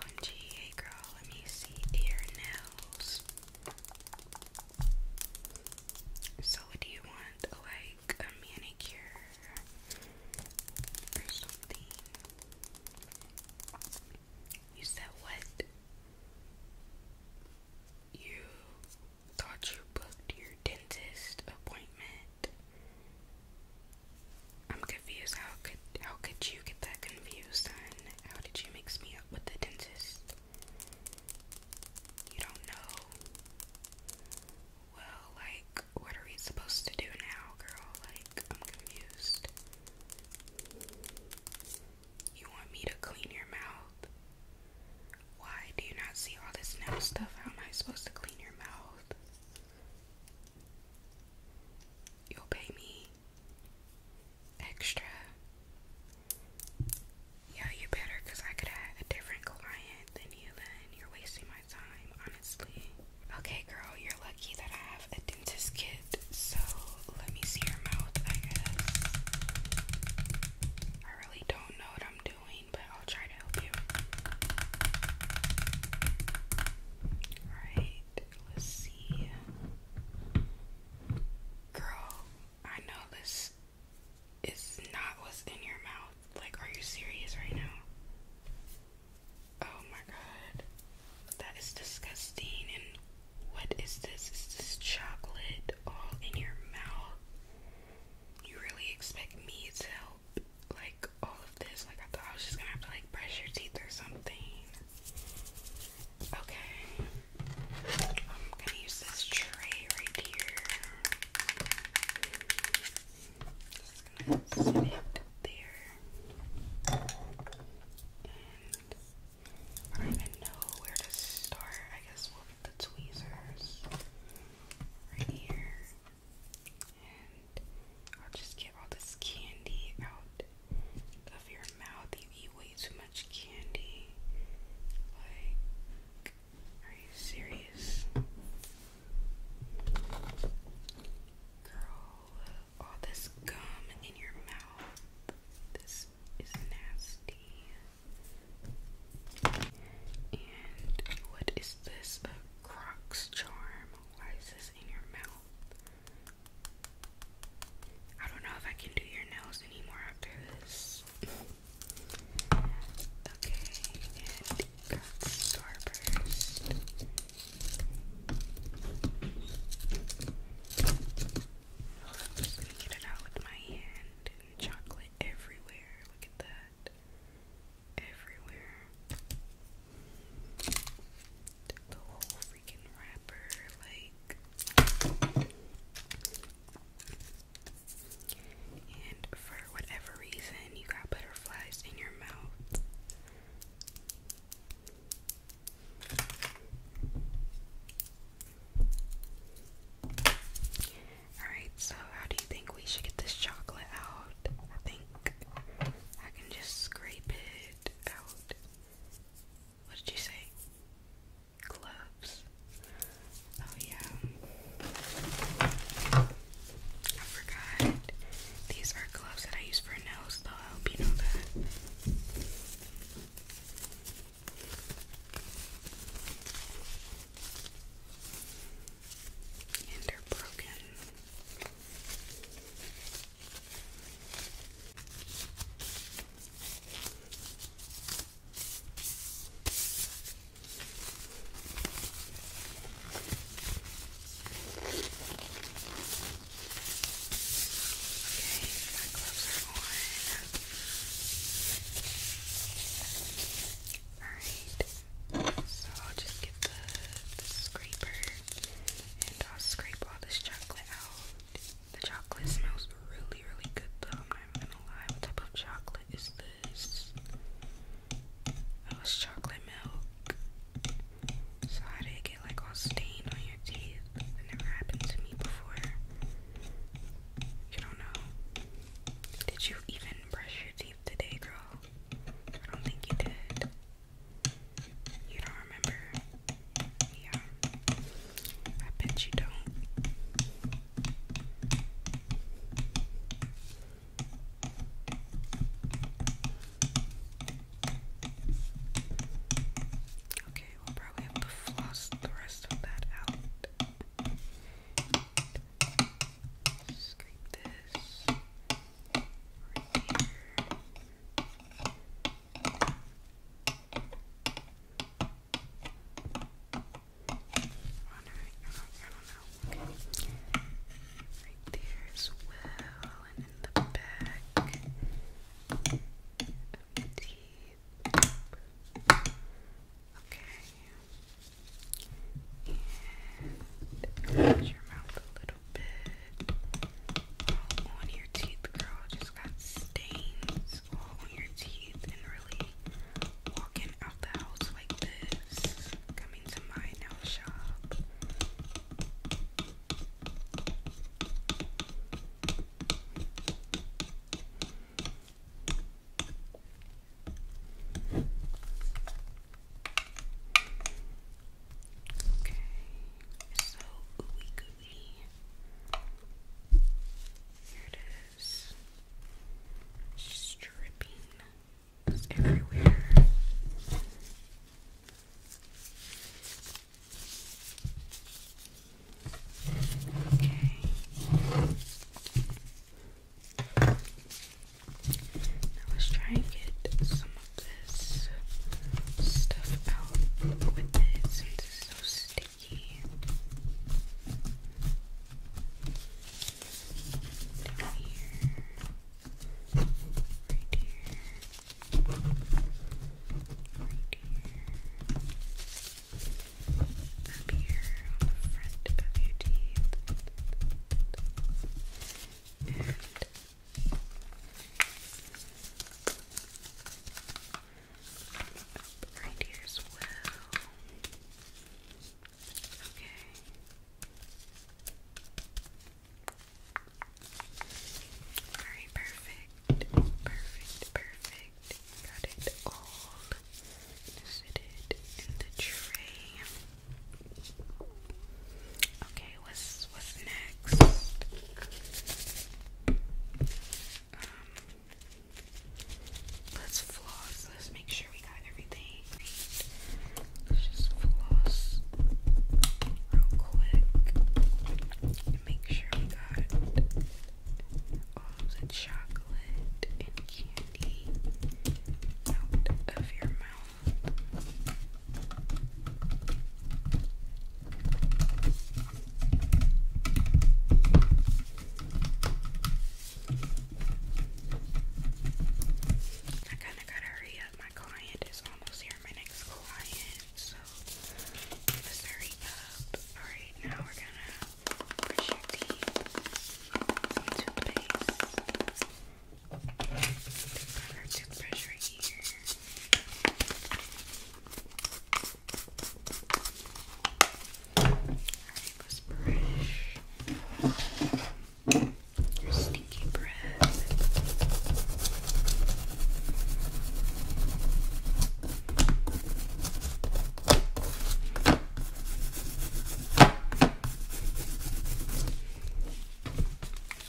OMG, hey girl, let me see your nails. So, what do you want? Like a manicure or something? You said what? You thought you booked your dentist appointment? I'm confused. How could how could you get that confused? son? how did you mix me up with the dentist? You don't know. Well, like, what are we supposed to do now, girl? Like, I'm confused. You want me to clean your mouth? Why do you not see all this nail stuff? How am I supposed to clean your mouth? You'll pay me extra. Yeah, you better, because I could have a different client than you, then you're wasting my time, honestly. Okay, girl, you're lucky that I have a dentist kit, so let me see your mouth, I guess. I really don't know what I'm doing, but I'll try to help you. Right let's see. Girl, I know this is not what's in your mouth. Like, are you serious right now? Oh my god. That is disgusting. And what is this? Is this chocolate all in your mouth? You really expect me to help? Like, all of this. Like I thought I was just gonna have to like brush your teeth or something. Okay. I'm gonna use this tray right here. Just gonna set it there. I don't even know where to start. I guess we'll get the tweezers right here. I'll just get all this candy out of your mouth. You eat way too much candy. Like, are you serious? Girl, all this gum in your mouth. This is nasty. And what is this? A Crocs charm. Why is this in your mouth? I don't know if I can do your nails anymore after this. okay, and drugstore I'm just gonna get it out with my hand chocolate everywhere. Look at that. Everywhere the whole freaking wrapper, like, and for whatever reason, you got butterflies in your mouth. Alright, so how do you think we should get this chocolate out? I think I can just scrape it out. What did you say? Gloves. Oh yeah. I forgot. These are gloves that I use for nails, though. I hope you know that. And they're broken my gloves are on. Alright, so I'll just get the, the scraper. And I'll scrape all this chocolate out. The chocolate smells really, really good though. I'm gonna lie. What type of chocolate is this? Oh, it's chocolate milk. So how did it get like all stained on your teeth? never happened to me before. You don't know. Did you even brush your teeth today, girl? I don't think you did. You don't remember? Yeah. I bet you don't. Okay, we'll probably have to floss the rest of that out. Scrape this right here. there as well, and in the back of Okay. And close your mouth a little little bit all on your teeth, girl. Just got stains all on your teeth and really walking out the house like this. Coming to my nail shop. Okay, so ooey gooey. Here it is. Stripping everywhere. Okay. Now let's try and get some of this stuff out with it since it's so sticky. Down here. Right here. Right here. Up here front of your teeth. And Right here as well. Okay. Alright, perfect. Perfect, perfect. Got it all. Sit it in the tray. Okay, what's what's next? Um, let's floss. Let's make sure we got everything. Let's just floss real quick make sure we got all the chocolate and candy out of your mouth. I kind of gotta hurry up. My client is almost here. My next client, so let's hurry up. All right, now we're gonna brush your teeth. Some toothpaste. Put our toothbrush right here. Alright, let's brush your stinky breath.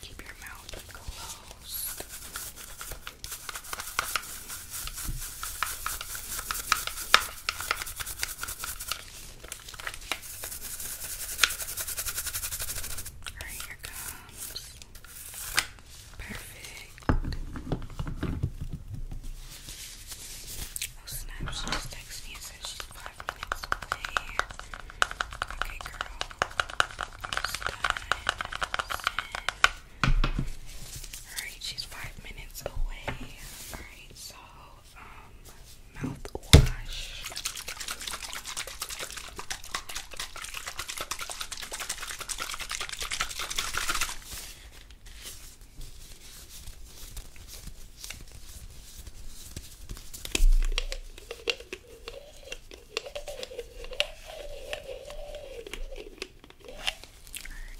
Keep your mouth closed. Alright, here comes. Perfect. Oh snap, just texted me and said she's five minutes away. Okay girl, Alright, she's five minutes away. Alright, so, um, mouthwash. We're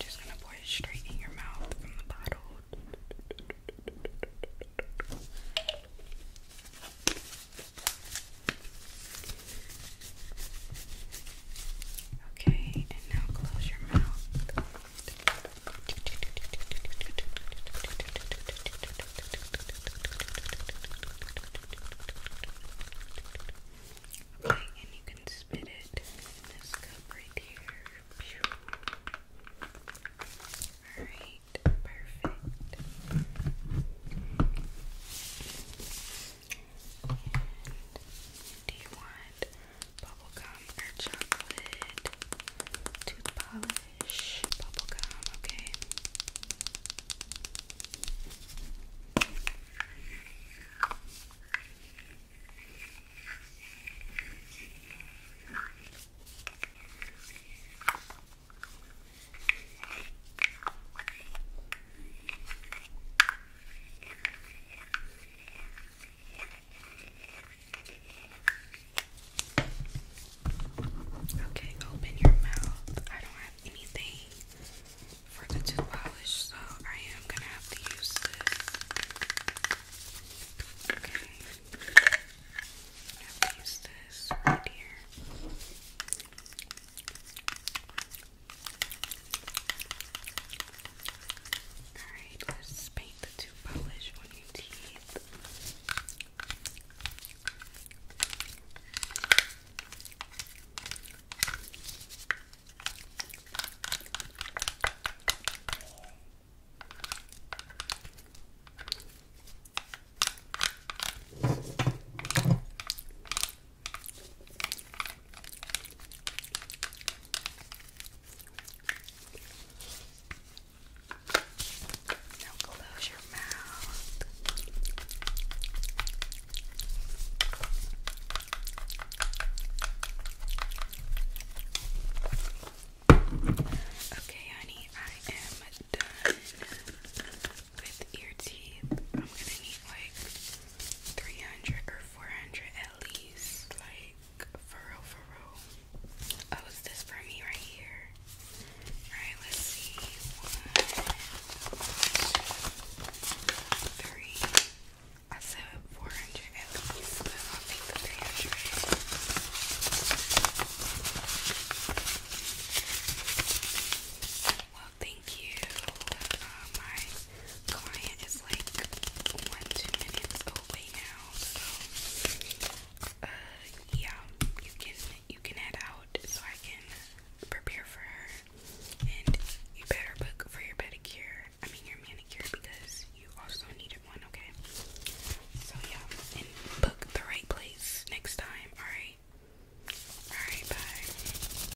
just gonna pour it straight in your mouth from the bottle. Okay, and now close your mouth. Okay, and you can spit it in this cup right here. Alright, perfect. And do you want bubblegum or chocolate? Tooth polish, bubblegum, okay. Okay. Okay, open your mouth. I don't have anything for the tooth polish, so I am gonna have to use this. Okay. I'm gonna have to use this right here. Alright, let's paint the two polish on your teeth. Now close your mouth. Okay, honey, I am done with your teeth. I'm gonna need like 300 or 400 at least. Like, for real, for real. Oh, is this for me right here? Alright, let's see. One, two, three. I said 400 at least, I'll take thank you. Uh, my client is like one, two minutes away now, so uh, yeah, you can you can head out so I can prepare for her. And you better book for your pedicure. I mean your manicure because you also needed one, okay? So yeah, and book the right place next time. All right. All right. Bye.